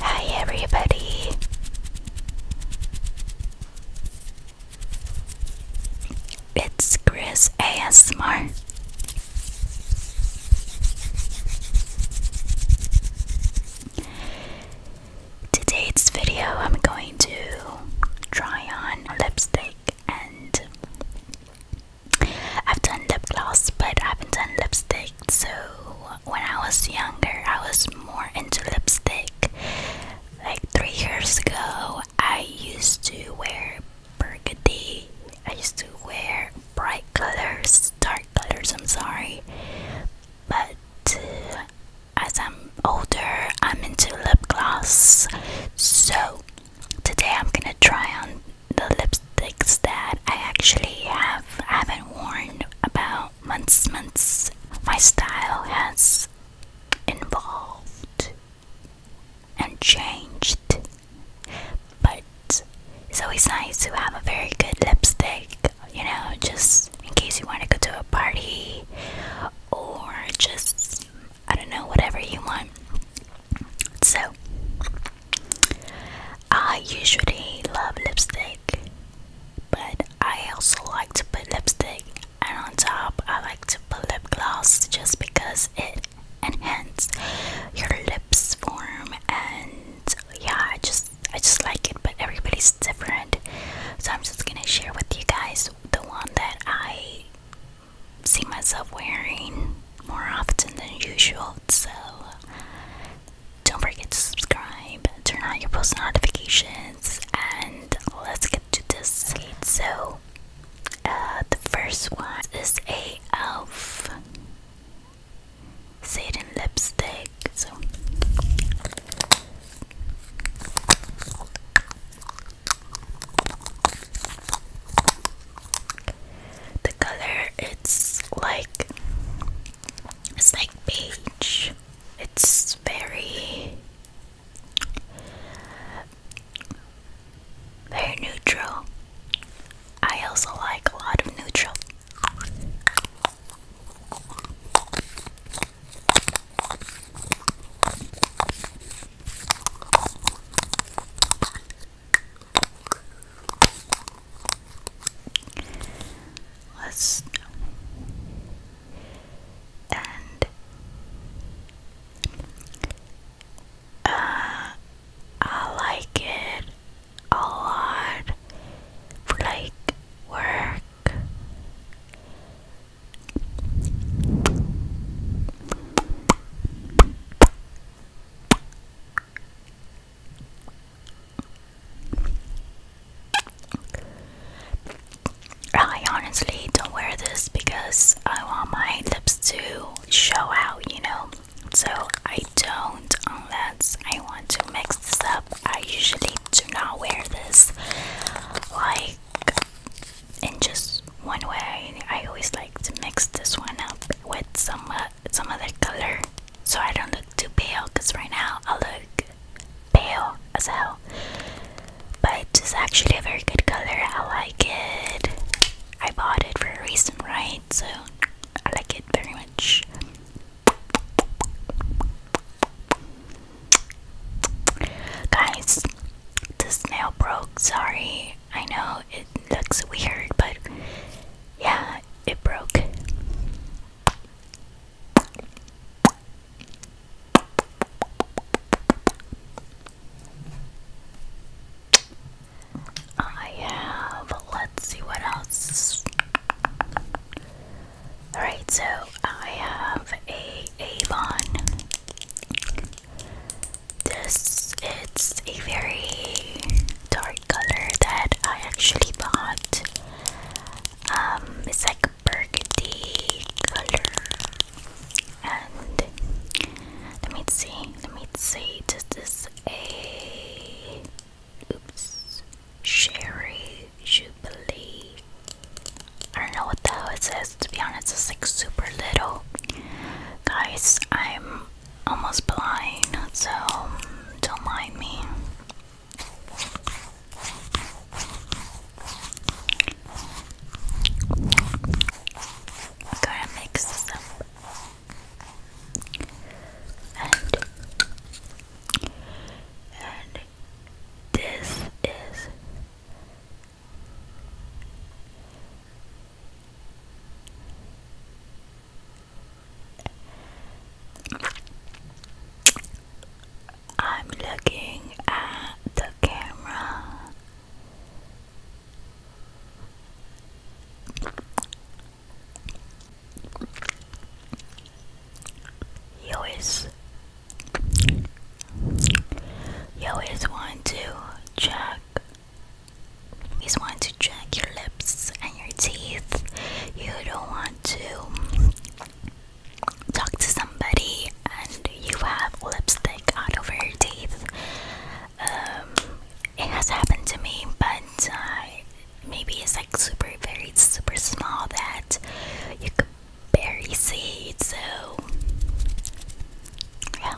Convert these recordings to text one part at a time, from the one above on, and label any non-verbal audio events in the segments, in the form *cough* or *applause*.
Hi, everybody. It's Chris ASMR. Today's video, I'm going to try on lipstick, and I've done lip gloss, but I haven't done lipstick so when I was younger, I was more into lipstick. Like three years ago, I used to wear burgundy, I used to wear bright colors, dark colors, I'm sorry. But uh, as I'm older, I'm into lip gloss. So today I'm gonna try on the lipsticks that I actually have haven't worn about months months my style has evolved and changed but it's always nice to have a very good lipstick you know just in case you want to go to a party or just I don't know whatever you want so, I usually love lipstick, but I also like to put lipstick, and on top, I like to put lip gloss just because it enhances your lips form. And yeah, I just I just like it, but everybody's different. So I'm just gonna share with you guys the one that I see myself wearing more often than usual, so don't forget to subscribe, turn on your post notifications, and let's get to this. Okay, so, uh, the first one is a elf satin lipstick. So the color it's like it's like beige. It's very very neutral. I also like a lot of neutral. Let's and uh, I like it a lot for like work. I honestly don't wear this because I want my lips to show out, you know. So I don't, unless I want to mix this up. I usually do not wear this. Like, in just one way. I always like to mix this one up with some uh, some other color, so I don't look too pale. Cause right now I look pale as hell. But it's actually a very good color. I like it. I bought it for a reason, right? So I like it very much. Guys, this nail broke. Sorry, I know it looks weird, but yeah, it broke. I have, let's see what else. Alright, so I have a Avon this it's a very dark color that I actually bought. Um, it's like burgundy color. And let me see, let me see. This a oops, sherry jubilee. I don't know what the hell it says, to be honest, it's like super little. Guys, I'm almost blind, so don't mind me. gonna mix this up. And, and this is I'm looking at the camera. You you always want to check. always want to check your lips and your teeth. You don't want to talk to somebody and you have lipstick out over your teeth. Um, it has happened to me, but uh, maybe it's like super, very super small that you could berry seeds, so yeah.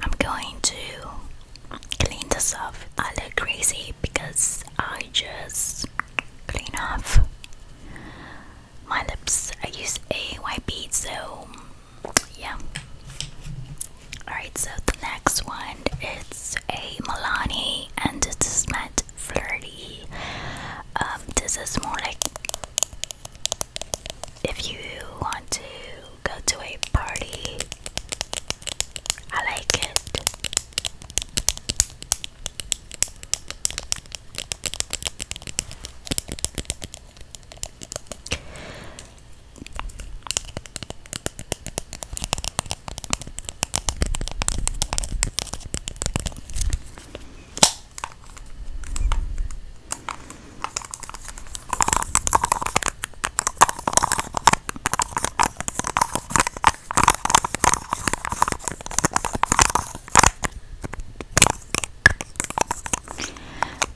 I'm going to clean this off. I look crazy because I just clean off my lips. I use a white bead, so yeah. Alright, so the next one it's a Milani and it is meant flirty. Um, this is more like if you want to go to a party. I like it.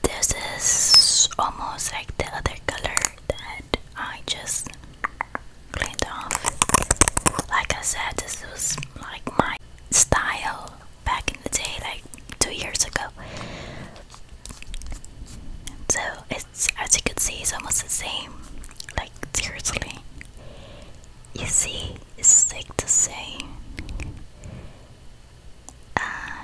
This is almost like the other color I just cleaned off. Like I said, this was like my style back in the day, like two years ago. So it's as you can see, it's almost the same. Like seriously, you see, it's like the same. Uh,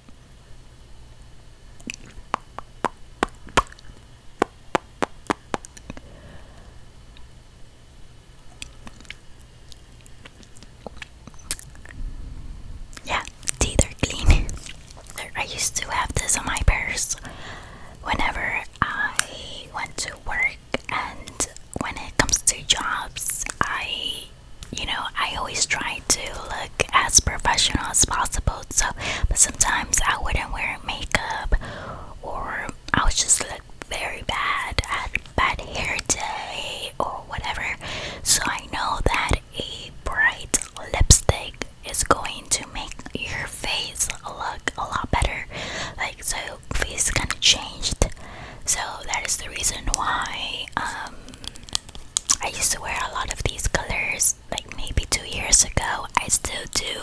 Yeah, teeth are clean. I used to have this on my purse whenever I went to work, and when it comes to jobs, I, you know, I always try to look as professional as possible. So, but sometimes I wouldn't wear makeup, or I would just look very bad. I bad hair day or whatever. So I know that a bright lipstick is going to make your face look a lot better. Like so, face kind of changed. So that is the reason why um, I used to wear a lot of these colors like maybe two years ago. I still do.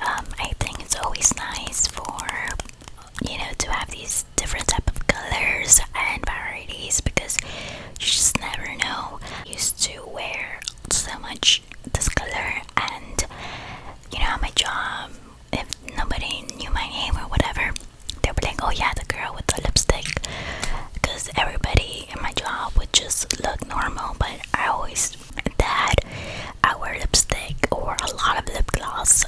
Um, I think it's always nice for you know to have these different type of colors and varieties because you just never know. used to wear so much this color, and you know my job if nobody knew my name or whatever they were like, oh yeah, the girl with the lipstick. Because everybody in my job would just look normal, but I always that I wear lipstick or a lot of lip gloss.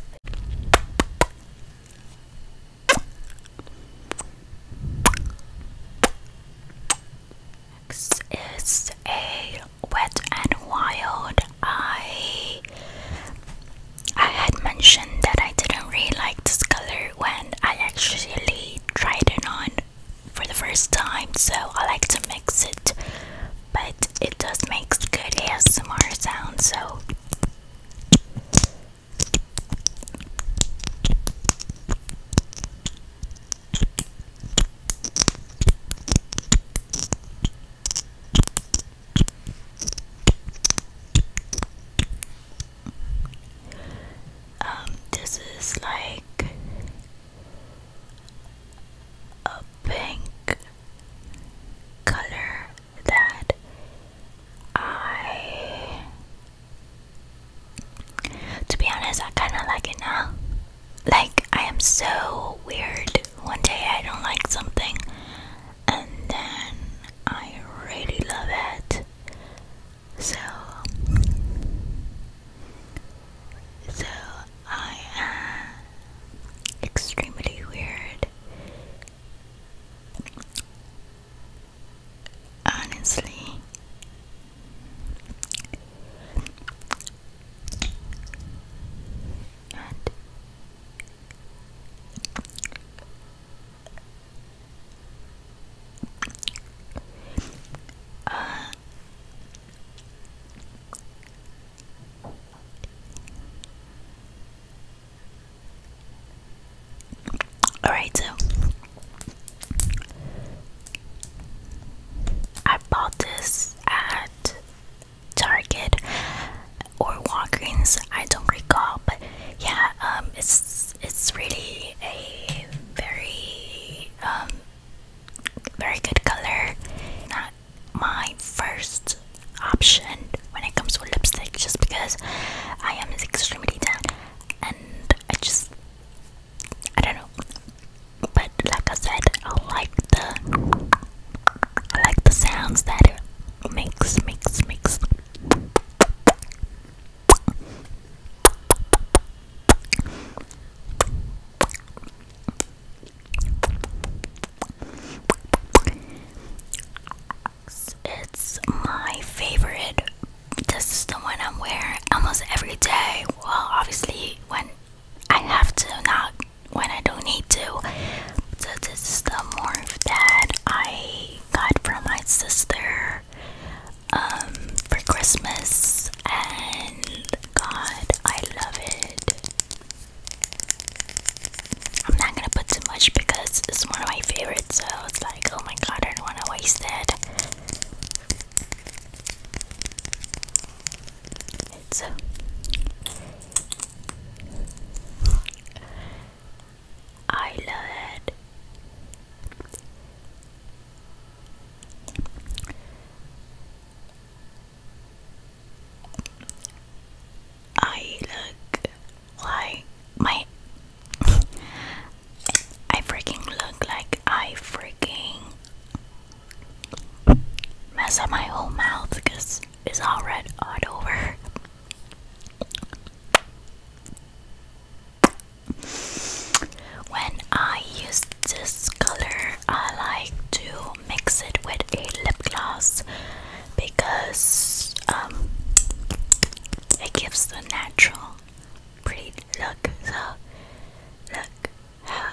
Next is a wet and wild. I I had mentioned that I didn't really like this color when I actually tried it on for the first time, so I like to mix it, but it does make good ASMR sound, so. Um, this is like a pink color that I to be honest I kinda like it now. Like I am so weird. One day I don't like something and then I really love it. So, so I am extremely weird. Honestly, and uh, all right, so I bought this at Target or Walgreens. I don't recall, but yeah, um, it's it's really a very um, very good color. Not my first option when it comes to lipstick, just because I am extremely tan, and I just I don't know. But like I said, I like the I like the sounds that it makes, makes, makes. It's my favorite. This is the one I'm wearing almost every day. Well, obviously, when I have to not when I don't need to. this is the morph that I got from my sister um, for Christmas, and God, I love it. I'm not gonna put too much because it's one of my favorites, so it's like, oh my god, I don't want to waste it. It's uh, I love I look like my *laughs* I freaking look like I freaking mess up my whole mouth because is all red all over. When I use this color, I like to mix it with a lip gloss because um, it gives the natural, pretty look. So, look how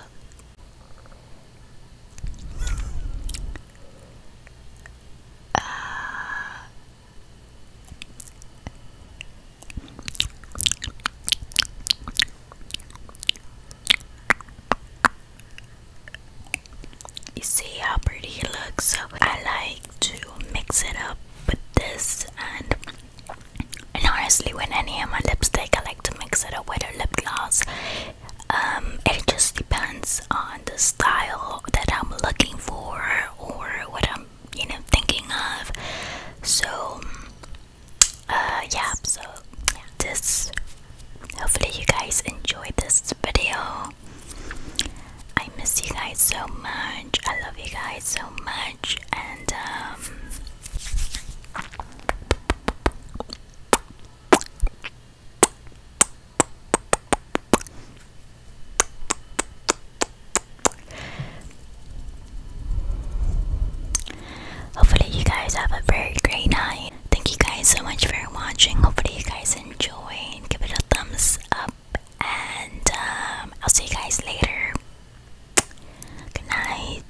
you see how pretty it looks, so I like to mix it up with this and honestly when any of my lipstick I like to mix it up with a lip gloss um, it just depends on the style that I'm looking for or what I'm, you know, thinking of. So, uh, yeah, so this hopefully, you guys enjoyed this video. I miss you guys so much, I love you guys so much, and um. Hopefully, you guys have a very great night. Thank you guys so much for watching. Hopefully, you guys enjoyed. Give it a thumbs up, and um, I'll see you guys later. Good night.